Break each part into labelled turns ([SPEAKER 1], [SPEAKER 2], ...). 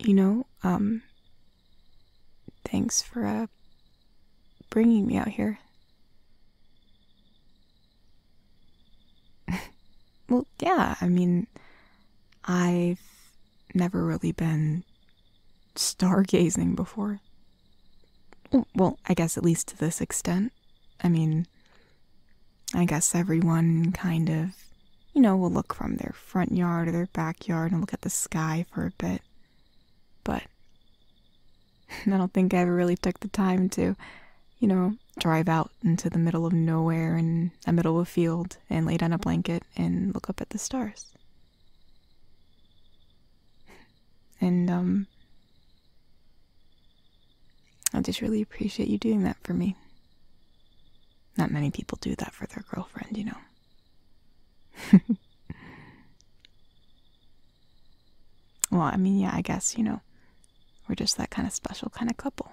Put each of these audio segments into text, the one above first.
[SPEAKER 1] You know, um, thanks for, uh, bringing me out here. well, yeah, I mean, I've never really been stargazing before. Well, I guess at least to this extent. I mean, I guess everyone kind of, you know, will look from their front yard or their backyard and look at the sky for a bit. But I don't think I ever really took the time to, you know, drive out into the middle of nowhere in the middle of a field and lay down a blanket and look up at the stars and um, I just really appreciate you doing that for me. Not many people do that for their girlfriend, you know. well, I mean, yeah, I guess, you know, we're just that kind of special kind of couple.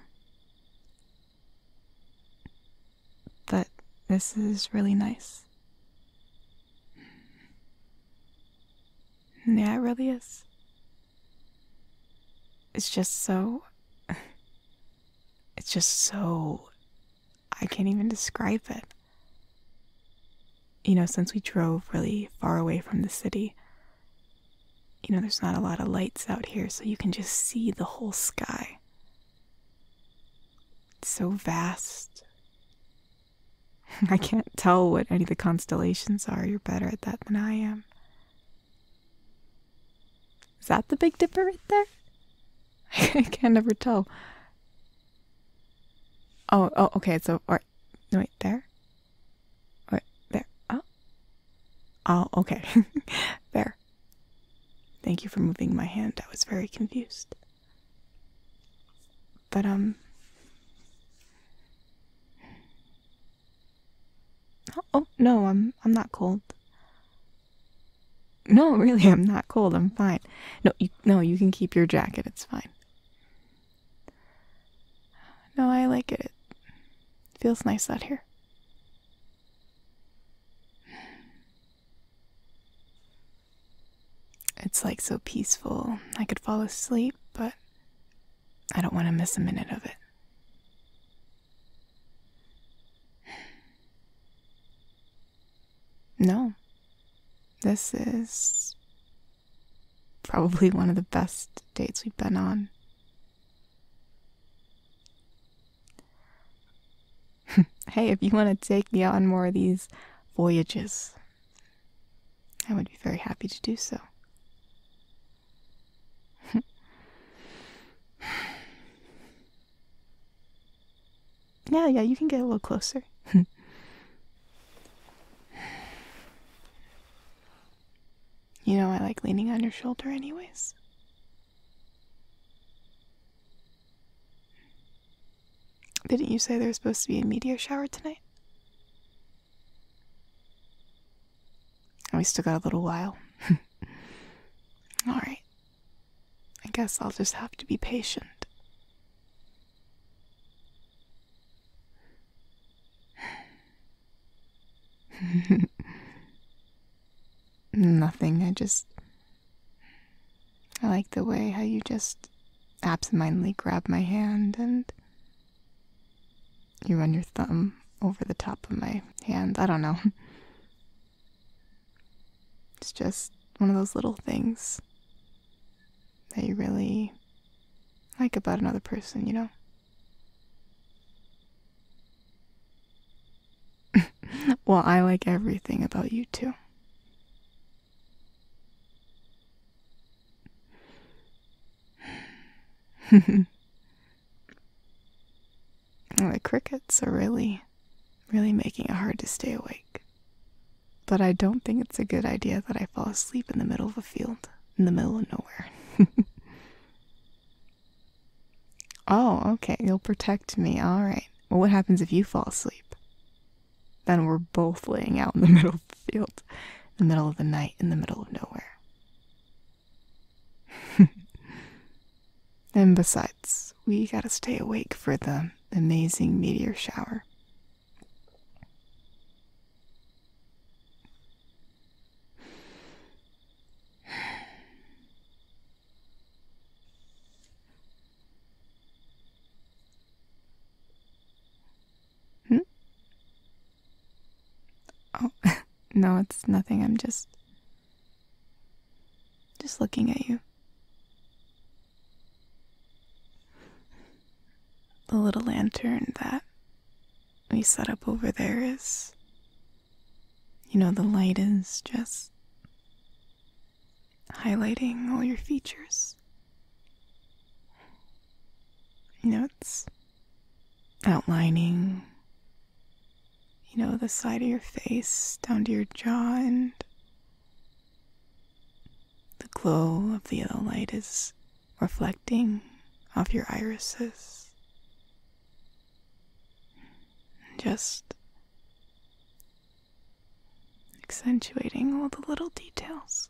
[SPEAKER 1] But this is really nice. Yeah, it really is. It's just so. It's just so. I can't even describe it. You know, since we drove really far away from the city, you know, there's not a lot of lights out here, so you can just see the whole sky. It's so vast I can't tell what any of the constellations are. You're better at that than I am. Is that the Big Dipper right there? I can never tell. Oh, oh, okay. So, right there. Right there. Oh, oh, okay. there. Thank you for moving my hand. I was very confused. But, um. Oh, no, I'm, I'm not cold. No, really, I'm not cold. I'm fine. No, you, no, you can keep your jacket. It's fine. No, I like it. It feels nice out here. It's like so peaceful. I could fall asleep, but I don't want to miss a minute of it. No. This is probably one of the best dates we've been on. hey, if you want to take me on more of these voyages, I would be very happy to do so. yeah, yeah, you can get a little closer. you know, I like leaning on your shoulder, anyways. Didn't you say there was supposed to be a meteor shower tonight? And we still got a little while. Alright. I guess I'll just have to be patient. Nothing. I just. I like the way how you just absentmindedly grab my hand and you run your thumb over the top of my hand. I don't know. It's just one of those little things that you really like about another person, you know? well, I like everything about you too. the crickets are really, really making it hard to stay awake. But I don't think it's a good idea that I fall asleep in the middle of a field, in the middle of nowhere. Oh, okay. You'll protect me. All right. Well, what happens if you fall asleep? Then we're both laying out in the middle of the field, in the middle of the night, in the middle of nowhere. and besides, we gotta stay awake for the amazing meteor shower. Hmm? Oh, no, it's nothing. I'm just. just looking at you. The little lantern that we set up over there is you know, the light is just highlighting all your features. You know, it's outlining, you know, the side of your face down to your jaw, and the glow of the yellow light is reflecting off your irises just accentuating all the little details.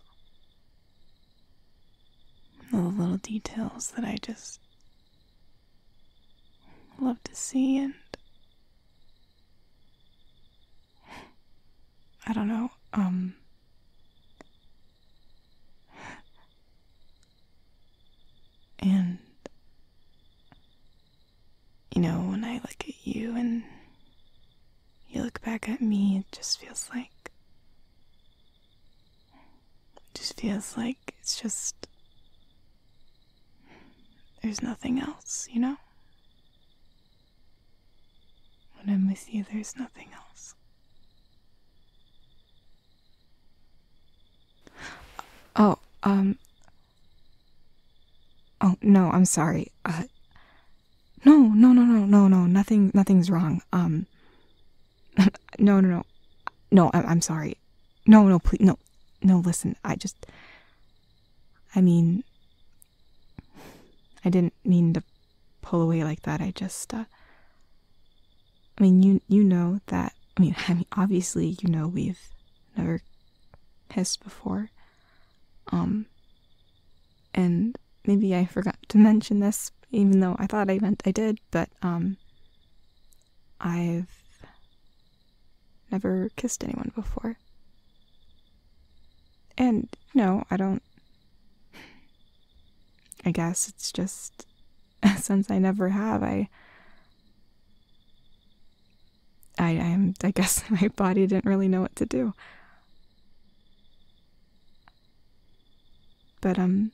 [SPEAKER 1] All the little details that I just love to see and I don't know, um and, you know, when I look at you and you look back at me, it just feels like. It just feels like it's just. There's nothing else, you know? When I'm with you, there's nothing else. Oh, um. Oh, no, I'm sorry. Uh. No, no, no, no, no, no. Nothing, nothing's wrong. Um. no, no, no. No, I I'm sorry. No, no, please. No, no, listen. I just. I mean. I didn't mean to pull away like that. I just, uh. I mean, you you know that. I mean, I mean, obviously, you know we've never kissed before. Um. And maybe I forgot to mention this, even though I thought I meant I did, but um. I've never kissed anyone before. And no, I don't. I guess it's just since I never have. I I am I guess my body didn't really know what to do. But um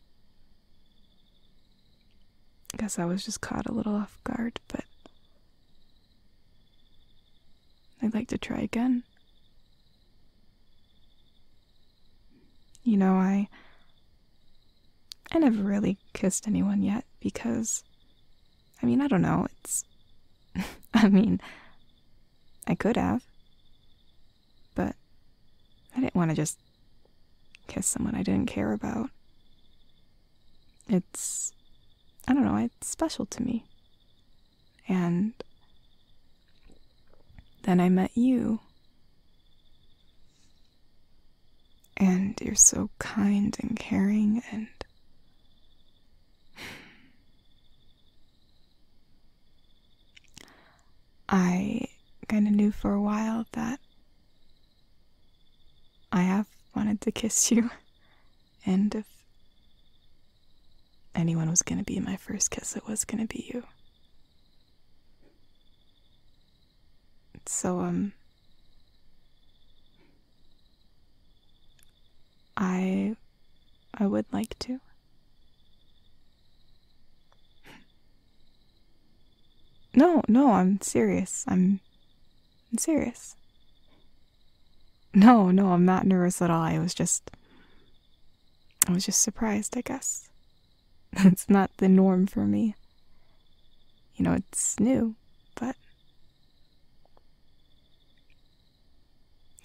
[SPEAKER 1] I guess I was just caught a little off guard, but I'd like to try again. You know, I I never really kissed anyone yet because I mean, I don't know. It's I mean, I could have, but I didn't want to just kiss someone I didn't care about. It's I don't know, it's special to me. And then I met you. And you're so kind and caring and. I kind of knew for a while that I have wanted to kiss you, and if anyone was going to be my first kiss, it was going to be you. So, um, I, I would like to. No, no, I'm serious. I'm, I'm serious. No, no, I'm not nervous at all. I was just I was just surprised, I guess. That's not the norm for me. You know, it's new, but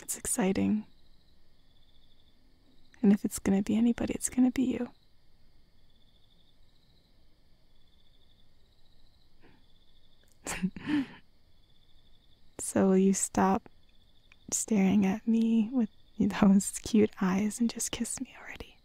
[SPEAKER 1] it's exciting. And if it's going to be anybody, it's going to be you. so will you stop staring at me with those cute eyes and just kiss me already.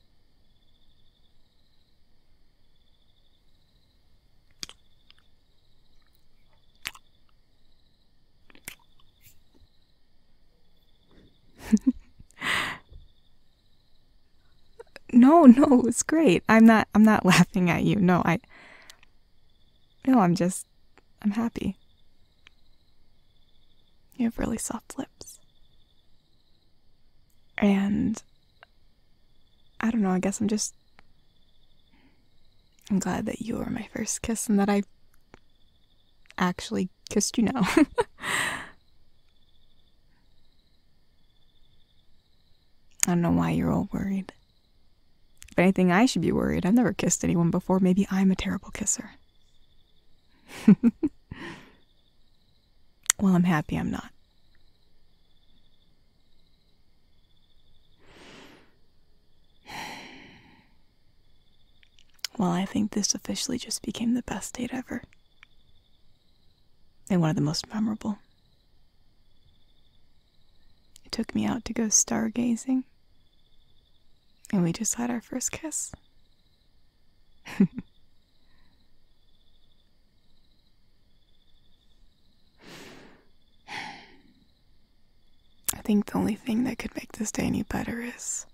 [SPEAKER 1] no, no, it's great. I'm not I'm not laughing at you. No, I no, I'm just. I'm happy. You have really soft lips. And. I don't know, I guess I'm just. I'm glad that you were my first kiss and that I actually kissed you now. I don't know why you're all worried. If anything, I should be worried. I've never kissed anyone before. Maybe I'm a terrible kisser. well, I'm happy I'm not. Well, I think this officially just became the best date ever. And one of the most memorable. It took me out to go stargazing. And we just had our first kiss. I think the only thing that could make this day any better is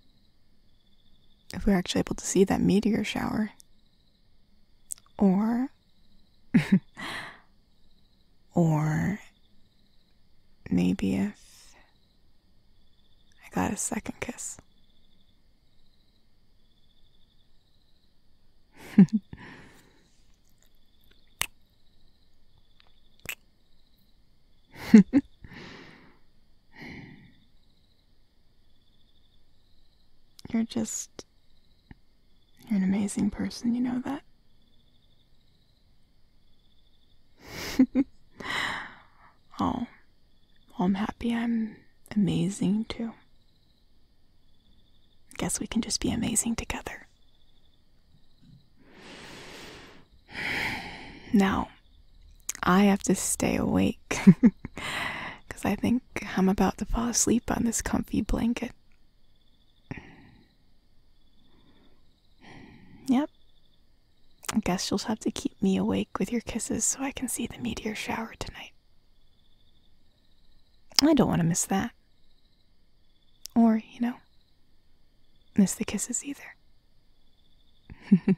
[SPEAKER 1] if we are actually able to see that meteor shower. Or or maybe if I got a second kiss. You're just you're an amazing person, you know that. oh, I'm happy I'm amazing too. Guess we can just be amazing together. Now, I have to stay awake because I think I'm about to fall asleep on this comfy blanket. Yep. I guess you'll have to keep me awake with your kisses so I can see the meteor shower tonight. I don't want to miss that. Or, you know, miss the kisses either.